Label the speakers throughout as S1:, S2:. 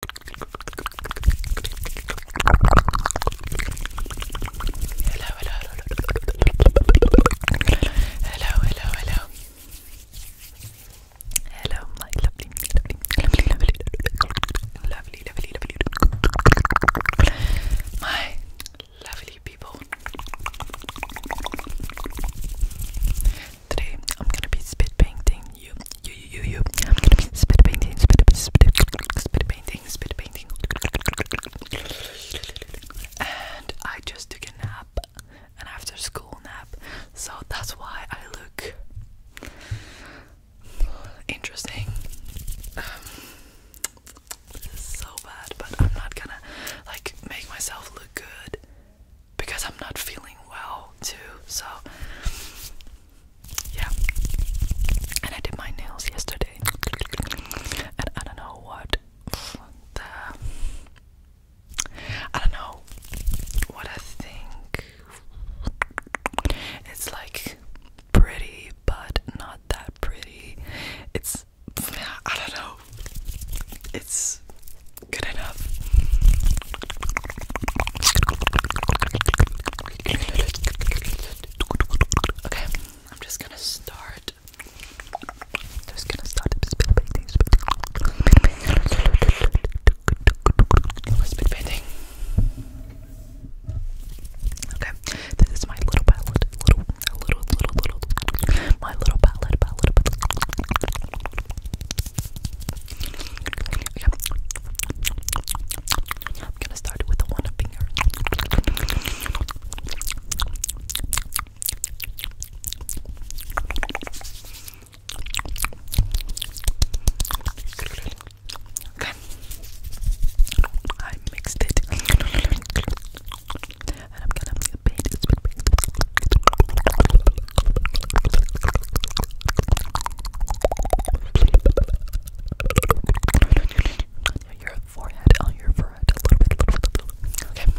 S1: Hello, hello, hello, hello, hello, hello, hello, my lovely, lovely, lovely, lovely, lovely, lovely, lovely, my lovely people. Today I'm gonna be spit painting you, you, you, you, you. I'm gonna be spit painting, spit, spit, spit painting, spit painting. And I just took a nap, an after school nap, so that's why I look interesting. Um, this is so bad, but I'm not gonna like make myself look good because I'm not feeling well too. So yeah. And I did my nails yesterday. And I don't know what the I don't know what I think. It's like pretty but not that pretty. It's I don't know. It's good enough. Okay, I'm just gonna start. Just gonna start spit painting. Spit painting. Okay, this is my little palette. Little, little, little, little. My little palette. Yeah. I'm gonna start with the one finger. Okay. I mixed it. And I'm gonna paint it. Your forehead, on your forehead, a little bit, a little bit, a little bit. Okay.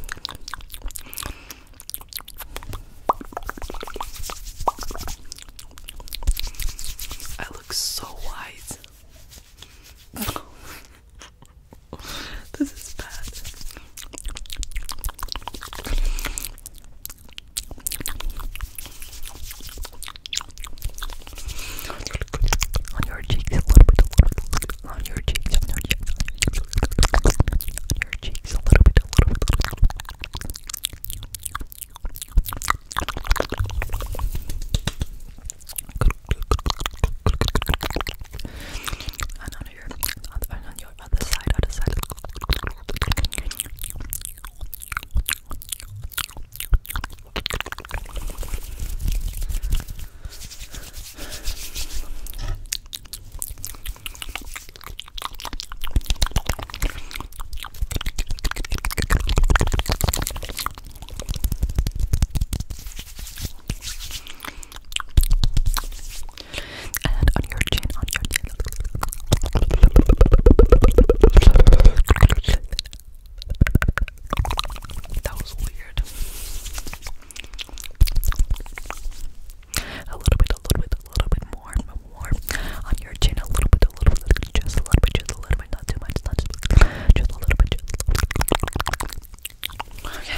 S1: I look so white. this is bad. On your cheeks, a little bit, on your cheeks, on your cheeks, on your cheeks, a little bit, a little bit. And on your on, on your other side, other side and on your chin, on your chin. That was weird. A little bit, a little bit, a little bit more, more on your chin. A little bit, a little bit, just a little bit, just a little bit, not too much, not too much, just a little bit. Just Okay.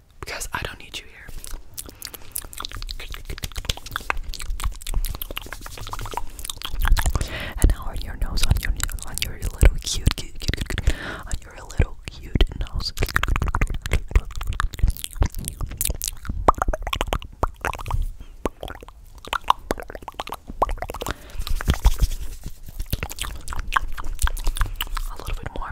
S1: because I don't need you here. And now on your nose, on your on your little cute on your little cute nose. A little bit more.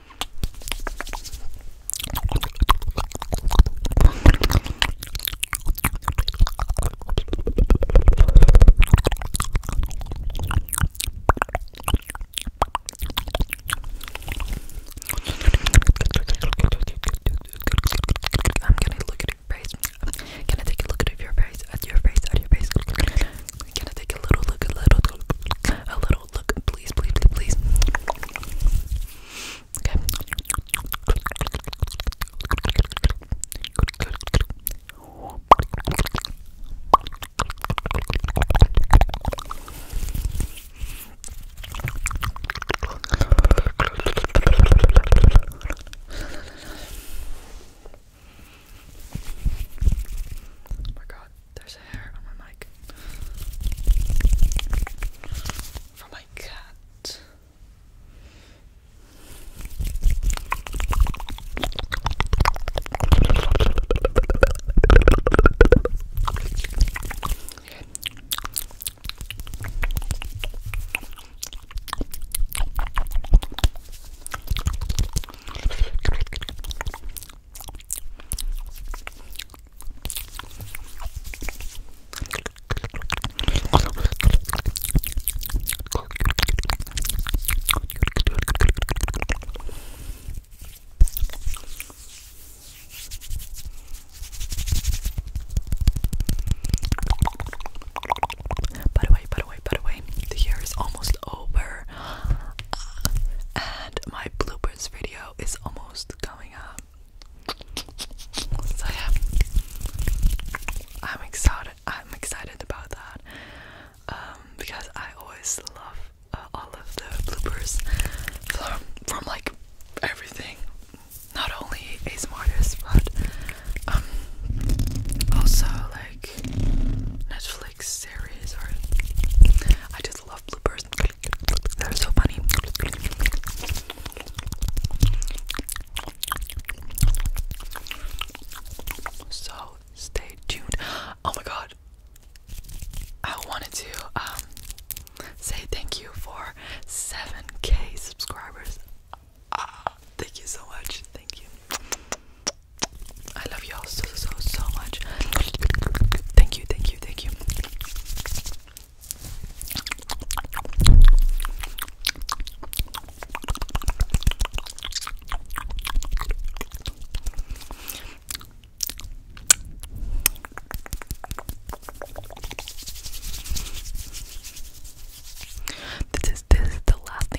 S1: I'm gonna look at your face. Can I take a look at your face? At your face? At your face? Can I take a little look? A little, a little, look, please, please, please, please. Okay. Oh my god, there's a hair on my mic. From my cat. By the way, by the way, by the way, the year is almost over and my bloopers video is almost coming up. So yeah, I'm excited. I'm excited about that um, because I always love uh, all of the bloopers from, from like everything, not only ASMR but um, also like Netflix. Netflix series or I just love bloopers. They're so funny. So stay tuned. Oh my god. I wanted to um, say thank you for 7k subscribers. Ah, thank you so much. Thank you. I love y'all so, so, so much. Thank you, thank you, thank you. This is this the last thing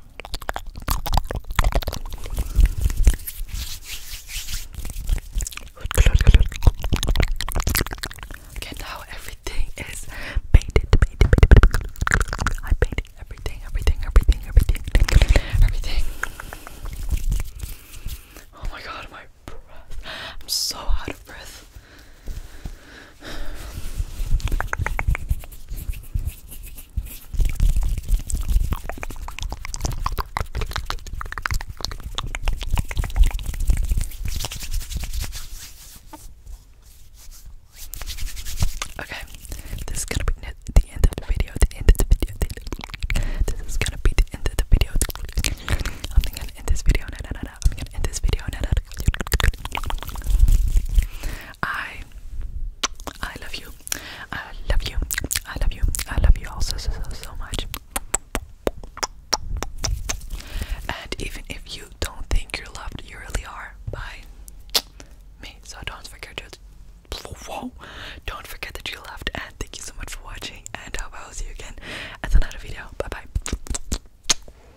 S1: Okay, now everything is painted, painted, painted. I painted everything, everything, everything, everything, everything. Oh my god, my breath. I'm so out of breath. Okay, this is gonna be the end of the video. The end of the video. this is gonna be the end of the video. I'm gonna this video. No, I'm gonna end this video on that. I I love you. I love you. I love you. I love you all so so much. And even if you don't think you're loved, you really are by me. So don't forget to whoa, don't forget that you loved and thank you so much for watching and I will see you again at another video. Bye bye.